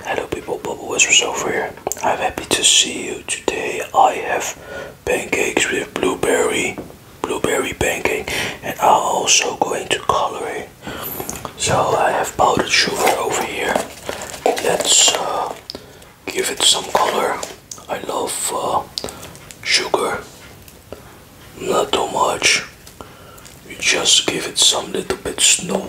Hello people, Bubble Whispers over here. I'm happy to see you today. I have pancakes with blueberry, blueberry pancake and I'm also going to color it. So I have powdered sugar over here. Let's uh, give it some color. I love uh, sugar. Not too much. We just give it some little bit snow.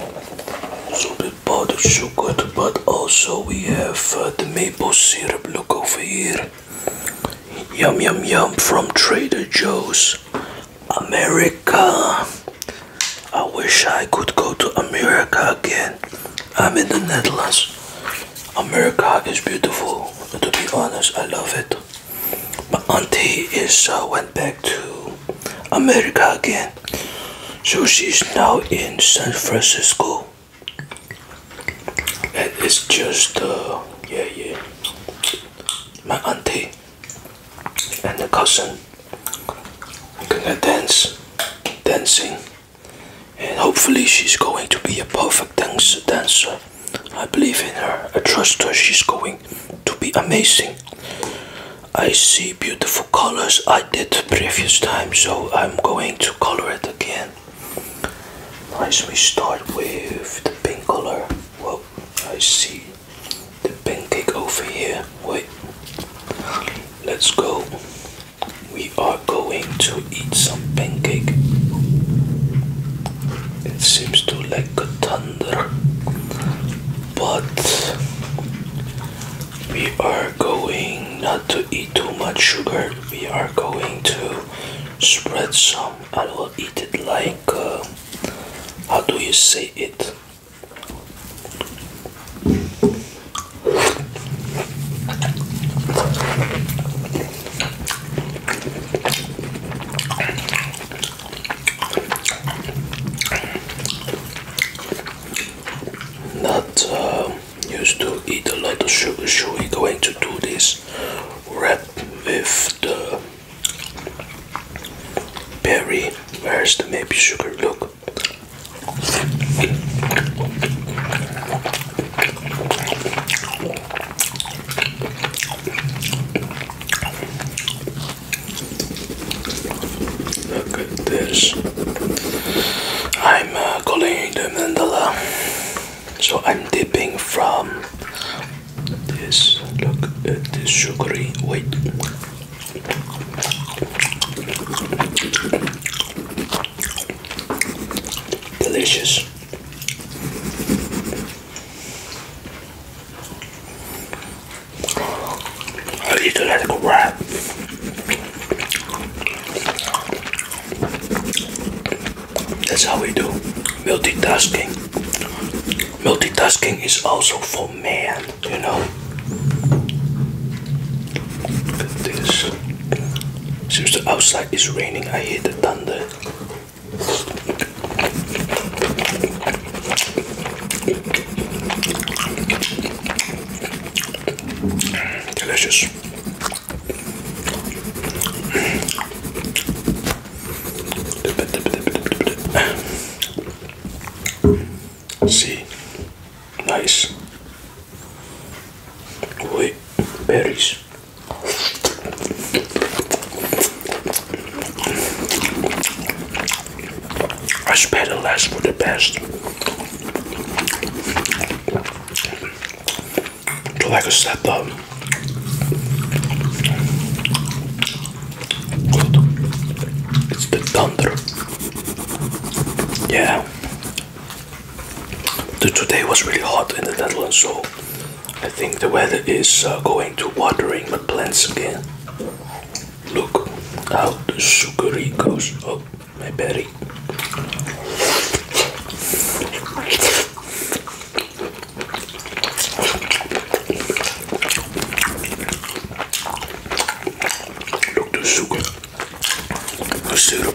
So the powdered sugar, but also we have uh, the maple syrup. Look over here. Yum yum yum from Trader Joe's. America. I wish I could go to America again. I'm in the Netherlands. America is beautiful. To be honest, I love it. My auntie is uh, went back to America again. So she's now in San Francisco. And it's just, uh, yeah, yeah, my auntie and the cousin gonna dance, dancing. And hopefully she's going to be a perfect dance dancer. I believe in her. I trust her. She's going to be amazing. I see beautiful colors I did previous time, so I'm going to color it again. Let's we start with the pink color. Well, I see the pancake over here. Wait, let's go. We are going to eat some pancake. It seems to like a thunder but we are going not to eat too much sugar. We are going to spread some and we'll eat it like uh, how do you say it? Not uh, used to eat a lot of sugar, so we're going to do this wrap with the berry. Where's the maybe sugar? Look. Look at this. I'm uh, calling the mandala. So I'm dipping from this. Look at this sugary. Wait. Delicious. I need to let it go That's how we do multitasking. Multitasking is also for man, you know. Look at this. Since the outside is raining, I hear the thunder. Delicious. See, nice. Wait, berries. I spare the last for the best. To like a step It's the thunder. Yeah. The today was really hot in the Netherlands, so I think the weather is uh, going to watering my plants again. Look how the sugary goes up my berry. Look the sugar, the syrup.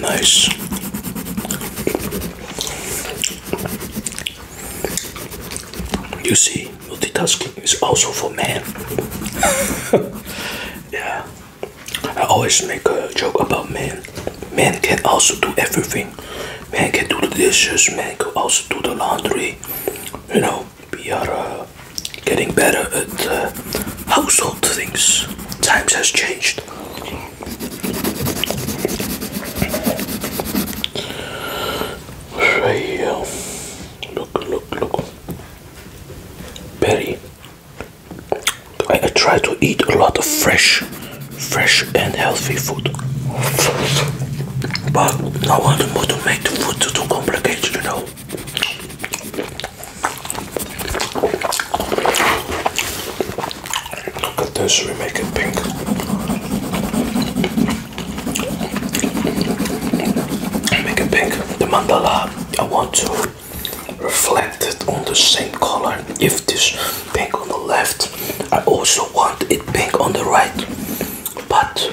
Nice. You see, multitasking is also for men. yeah. I always make a joke about men. Men can also do everything. Man can do the dishes, man can also do the laundry. You know, we are getting better at uh, household things. Times has changed. Right Look, look, look. Berry. I try to eat a lot of fresh, fresh and healthy food but I want to make the food too complicated, you know. Look at this, we make it pink. Make it pink. The mandala, I want to reflect it on the same color. If this pink on the left, I also want it pink on the right. But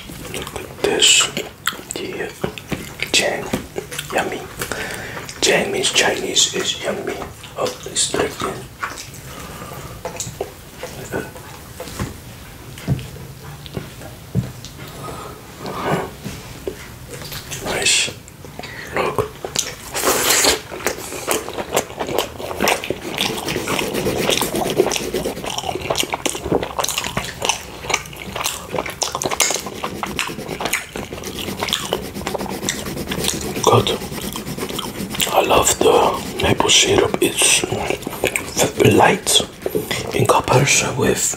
Look at this. Yeah. Chang. Yummy. Chang Chinese is yummy. Oh, it's drinking. Uh. Nice. Look. Good. I love the maple syrup. It's light in comparison with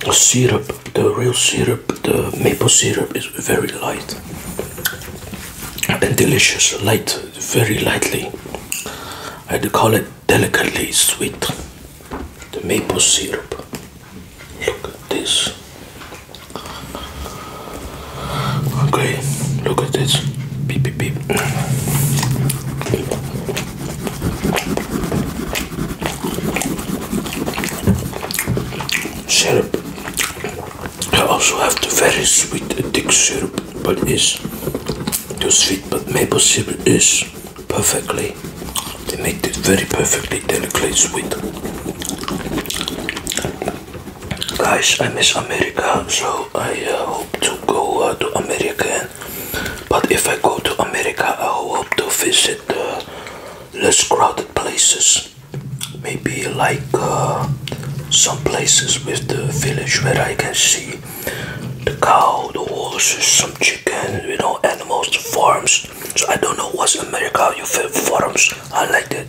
the syrup. The real syrup, the maple syrup is very light and delicious. Light, very lightly. I'd call it delicately sweet. The maple syrup. Look at this. Okay, look at this. Beep, beep, beep. Syrup. I also have the very sweet thick syrup, but it's too sweet, but maple syrup is perfectly. They make it very perfectly delicately sweet. Guys, I miss America, so I uh, hope to go uh, to America. But if I go to America, I hope to visit uh, less crowded places. Maybe like some places with the village where I can see the cow, the horses, some chickens, you know, animals, the farms. So I don't know what's America, you feel farms. I like it.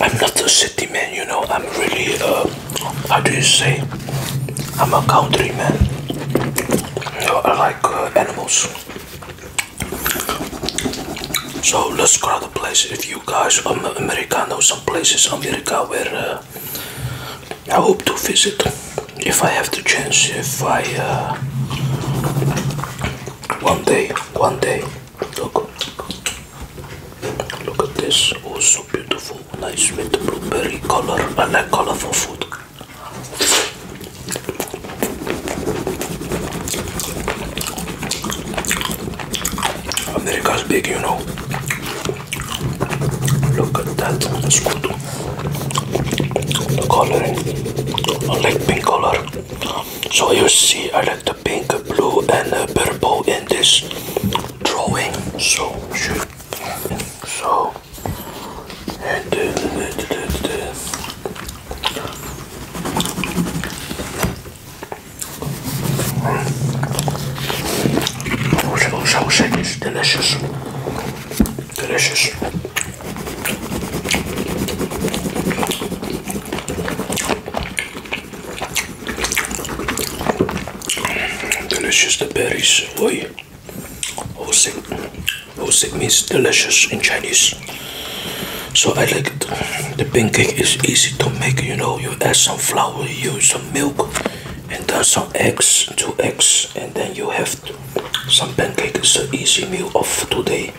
I'm not a city man, you know, I'm really, uh, how do you say, I'm a country man. You know, I uh, animals. So let's go to the places. If you guys um, America know some places America where uh, I hope to visit, if I have the chance, if I uh, one day, one day. Look, at this. Oh, so beautiful, nice with the blueberry color. I like colorful food. America's big, you know. Look at that, it's good. The coloring, I like pink color. So you see, I like the pink, blue, and uh, purple in this drawing. So, so and do, it's delicious. Delicious. Delicious the berries, oi. Hosing. Hosing means delicious in Chinese. So I like it. The pancake is easy to make, you know. You add some flour, you use some milk, and then some eggs, two eggs, and then you have some pancake. It's an easy meal of today.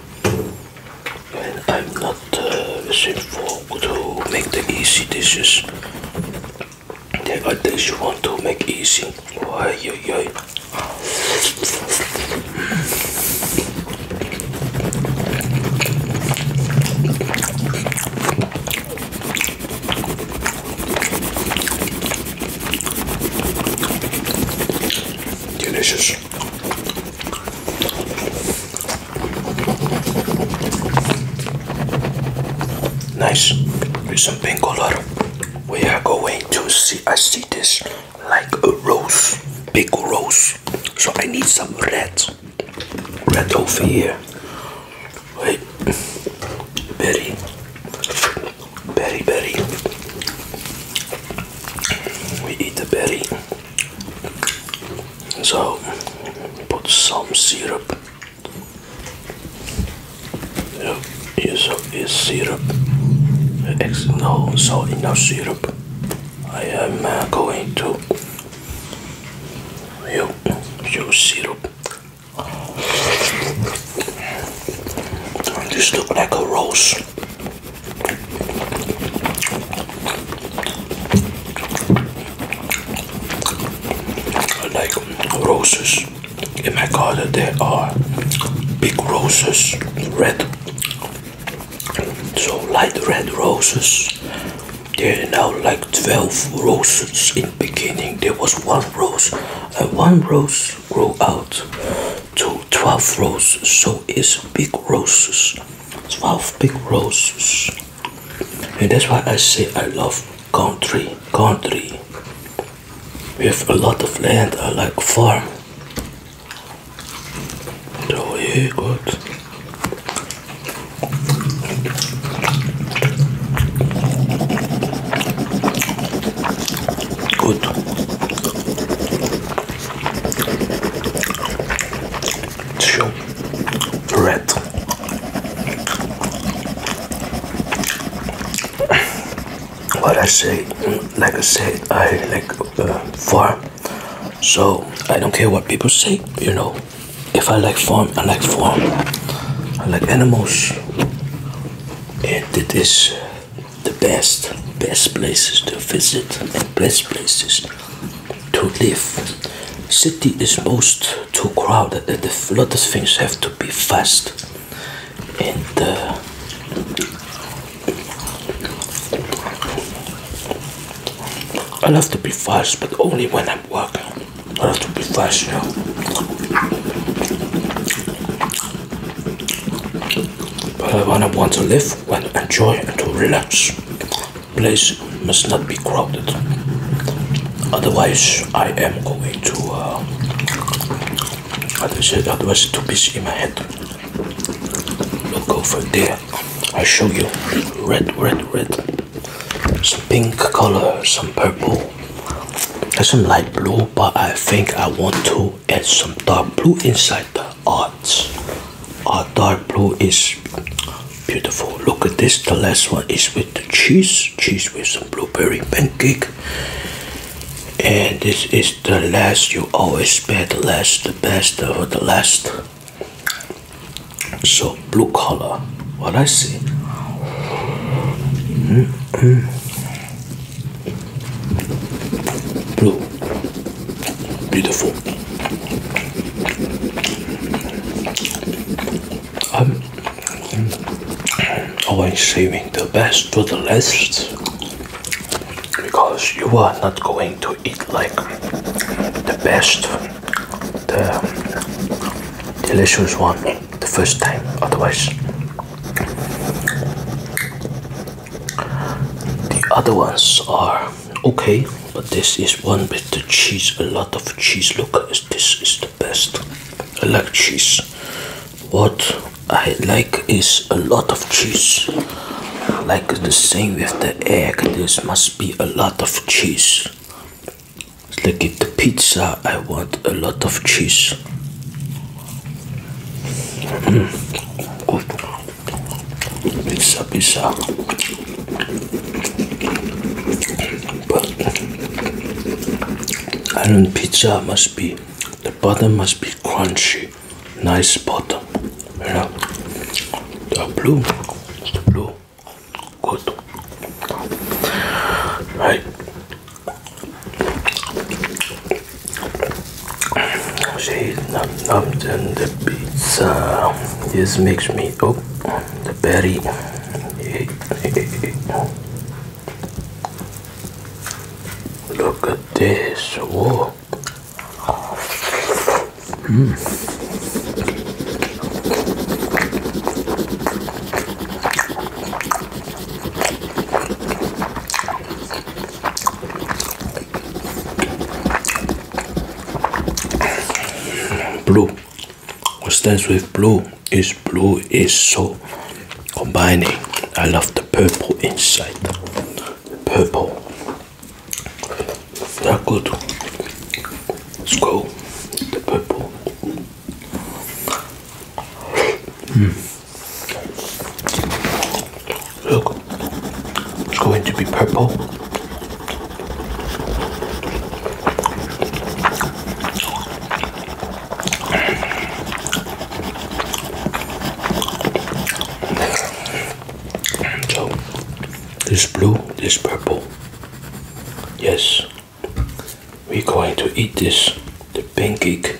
And I'm not uh, for to make the easy dishes. There are things you want to make easy. Why, yo, yo. Delicious. Nice. With some pink color. We are going to see. I see this like a rose, big rose. So I need some red, red over here. Wait, berry, berry, berry. We eat the berry. So put some syrup yeah, is is syrup. Ex no, so enough syrup. I am uh, going to you syrup. This look like a rose like roses in my garden there are big roses red so light red roses there are now like 12 roses in beginning there was one rose and one rose grew out to 12 roses so it's big roses 12 big roses and that's why I say I love country, country. with a lot of land, I like farm. So yeah, good. Good. Show red what I say, like I say, I like uh, farm. So I don't care what people say, you know. If I like farm, I like farm. I like animals. And it is the best, best places to visit and best places to live. City is most too crowded and a lot of things have to be fast. And uh, I love to be fast, but only when I'm working. I love to be fast, you know. But when I want to live, when I enjoy and to relax place must not be crowded. Otherwise, I am going to. Uh, otherwise, otherwise, too busy in my head. Don't go for there. I show you red, red, red. Some pink color, some purple. There's some light blue, but I think I want to add some dark blue inside the art. Our uh, dark blue is beautiful look at this the last one is with the cheese cheese with some blueberry pancake and this is the last you always pay the last the best for the last so blue color what i see mm -hmm. blue beautiful I'm always saving the best for the last because you are not going to eat like the best, the delicious one the first time, otherwise. The other ones are okay but this is one bit of cheese a lot of cheese look this is the best i like cheese what i like is a lot of cheese like the same with the egg this must be a lot of cheese like if the pizza i want a lot of cheese mm. Good bisa pizza, but I don't pizza must be the bottom must be crunchy nice bottom you know the blue blue good right see num num and uh, the pizza this makes me oh the berry look at this whoa mm. Blue. What stands with blue is blue is so combining. I love the purple inside. Purple. They're good. Let's go. The purple. Hmm. Look, it's going to be purple. So, this blue, this purple. Yes, we're going to eat this, the pancake.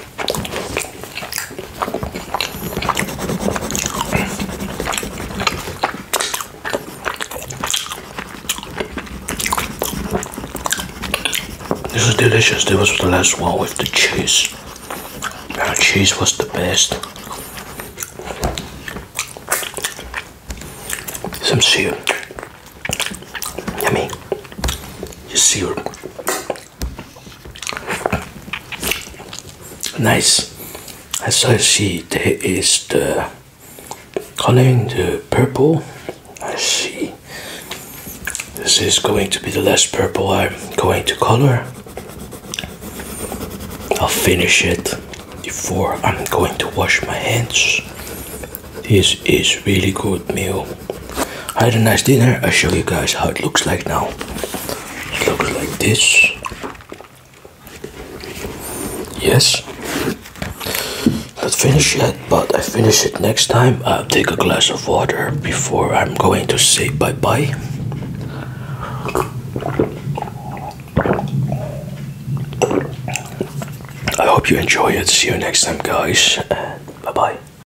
This is delicious. This was the last one with the cheese. The cheese was the best. Some syrup. Yummy. Just syrup. Nice. As I see, there is the coloring the purple. I see. This is going to be the last purple I'm going to color. I'll finish it before I'm going to wash my hands. This is really good meal. I had a nice dinner. I'll show you guys how it looks like now. It looks like this. Yes. Not finished yet, but I finish it next time. I'll take a glass of water before I'm going to say bye-bye. I hope you enjoy it. See you next time, guys. Bye-bye.